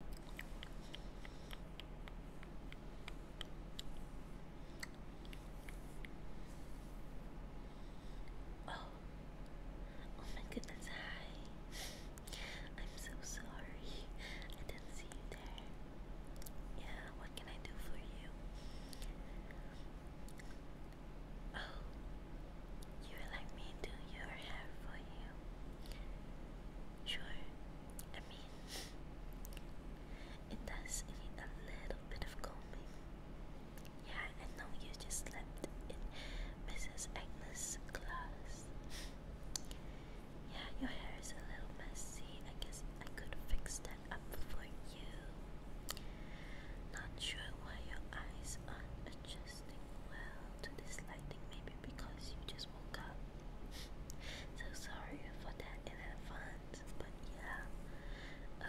Oh, oh my goodness, hi. I'm so sorry. I didn't see you there. Yeah, what can I do for you? Oh, you would like me to do your hair for you. Sure, I mean, it does need a little bit of combing. Yeah, I know you just slept in Mrs. Agnes' class. Yeah, your hair is a little messy. I guess I could fix that up for you. Not sure why your eyes are adjusting well to this lighting, maybe because you just woke up. so sorry for that in advance, but yeah.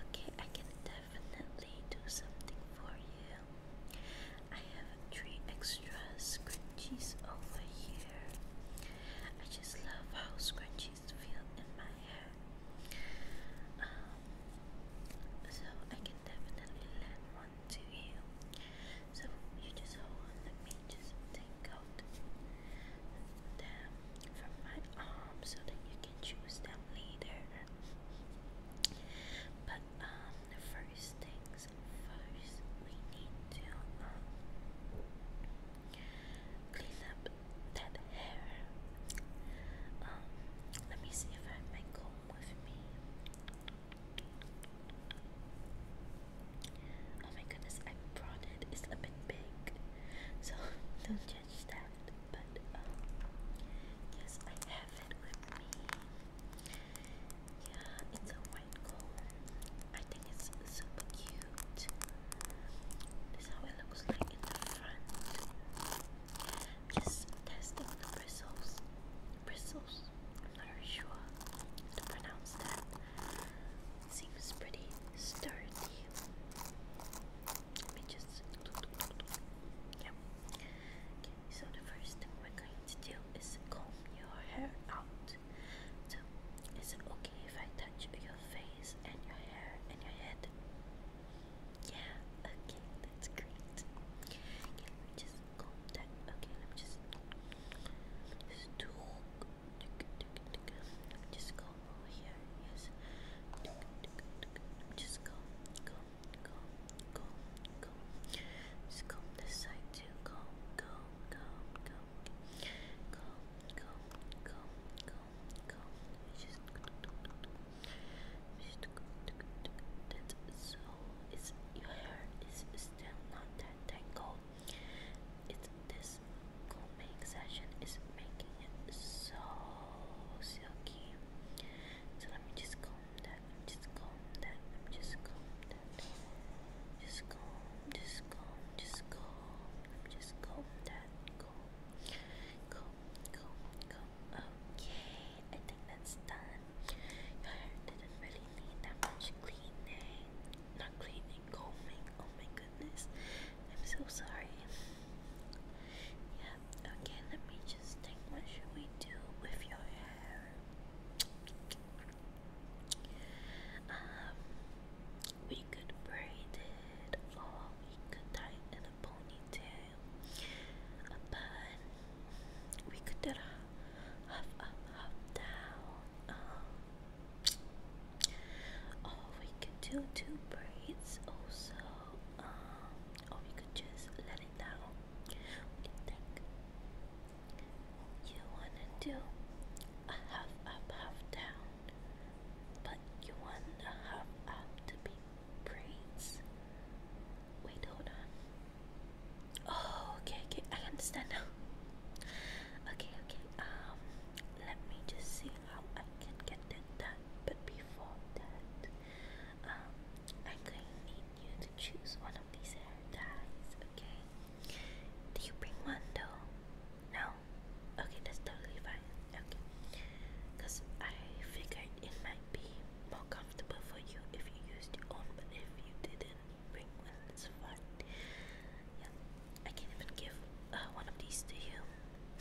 Okay, I can definitely do something for you. I have three extra scrunchies over here. I just love how scrunchies feel in my hair. Um, so I can definitely land one to you. So you just hold on, let me just take out them from my arm so that you can choose them later. But um, the first things first, we need to um, clean up that hair. Um, let me see if I have my comb with me. Oh my goodness, I brought it. a bit big, so don't judge that. But um, yes, I have it with me. Yeah, it's a white comb. I think it's super cute. This is how it looks like in the front. Just testing the one bristles. Bristles. I'm not very sure how to pronounce that. Seems pretty sturdy. Let me just. Yep. Okay, so the first thing we're going to do is comb your hair out. So, is it okay if I touch your face and your hair and your head? Yeah, okay, that's great. let me just comb Okay, let me just. Just do. just comb here. Yes. Just comb, comb, comb, comb, comb. Just comb this side too. Comb, comb, comb, comb. Comb, comb, comb, go. It's just just that so it's your hair is still not that tangled. It's this combing session is making it so silky. So let me just comb that. just comb that. just comb that. Just comb, just comb, just comb. just comb that. Okay, I think that's done. Your hair didn't really need that much cleaning. Not cleaning, combing. Oh my goodness. I'm so sorry. Yeah, okay, let me just think what should we do with your hair? Um we could braid it, or we could tie it in a ponytail. But we could do it half up, half down. Um, or we could do two braids also. Um, or we could just let it down. What do you think? You wanna do a half up, half down, but you want the half up to be braids. Wait, hold on. Oh, okay, okay, I understand now. Okay, okay, um, let me just see how I can get that done, but before that, um, I'm going to need you to choose one of these hair ties, okay? Did you bring one though? No? Okay, that's totally fine. Okay. Because I figured it might be more comfortable for you if you used your own, but if you didn't bring one, it's fine. Yeah. I can even give uh, one of these to you.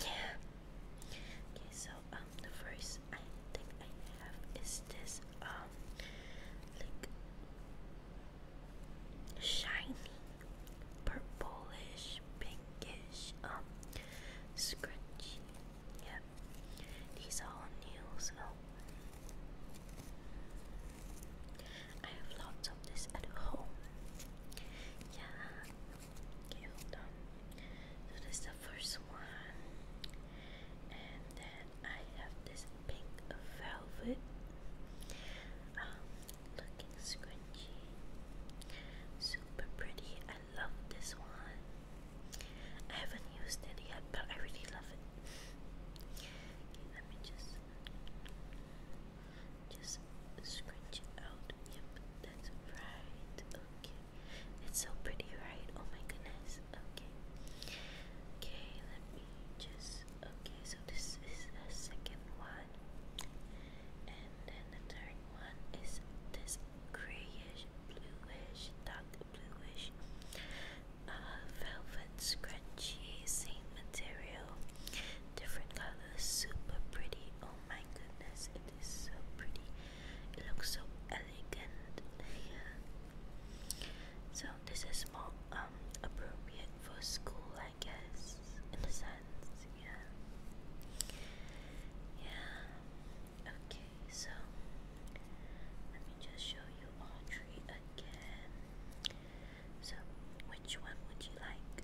Yeah. Okay, so um the first I I have is this um like shiny, purplish, pinkish, um, scrunchy. Yep, these are new, so I have lots of this at home. Yeah, okay, hold So, this is the first one, and then I have this pink velvet, um, looking scrunchy, super pretty. I love this one. I haven't used it yet, but I really love it. Okay, let me just just scrunch it out. Yep, that's right. Okay, it's so pretty, right? Oh my goodness. Okay. Okay, let me just. Okay, so this is the second one. And then the third one is this grayish, bluish, dark bluish uh, velvet scrunchy Same material, different colors, super pretty. Oh my goodness, it is so pretty. It looks so elegant So this is more um appropriate for school, I guess, in the sense. Yeah. Yeah. Okay. So let me just show you all three again. So which one would you like?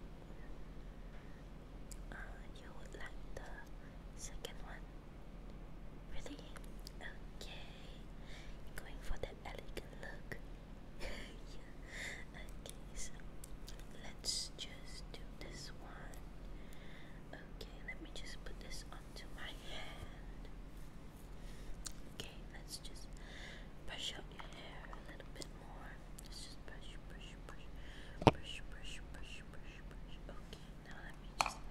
Uh, you would like the second one. Really? Okay. Going for that elegant look. Okay, let's just do this one. Okay, let me just put this onto my hand. Okay, let's just brush out your hair a little bit more. Let's just brush, brush, brush, brush, brush, brush, brush, brush. Okay. Now let me just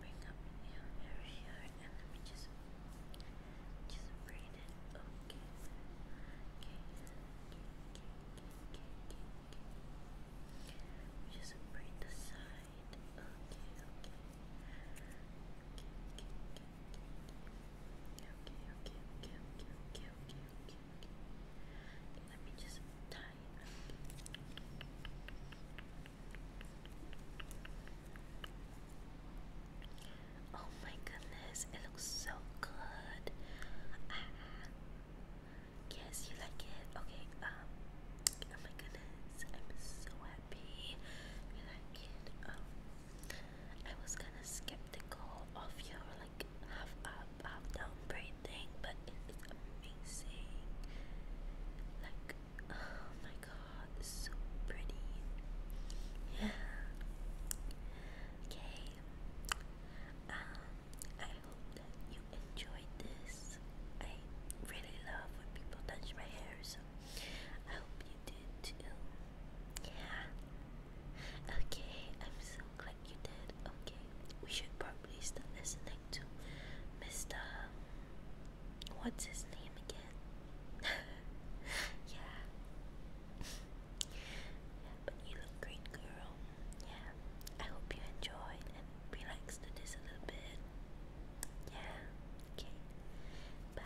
bring up your area and let me just just braid it. Okay. Okay. Okay. Okay. Okay. Okay. Just braid the side. Okay. Okay. Okay. Okay. Okay. Okay. Okay. Okay. Okay. Okay. Okay. Okay. Okay. Okay. Let me just tie Oh my goodness, it looks so good. Ah, yes, you like it. Okay, um oh my goodness, I'm so happy you like it. Um I was kinda skeptical of your like half up up down breathing, but it is amazing. Like, oh my god, so pretty. Yeah. Okay. Um, I hope that you enjoyed this. I really love when people touch my hair, so I hope you did too. Yeah. Okay, I'm so glad you did. Okay, we should probably stop listening to Mr. What's his name again? yeah. yeah. But you look great, girl. Yeah. I hope you enjoyed and relaxed to this a little bit. Yeah. Okay. Bye.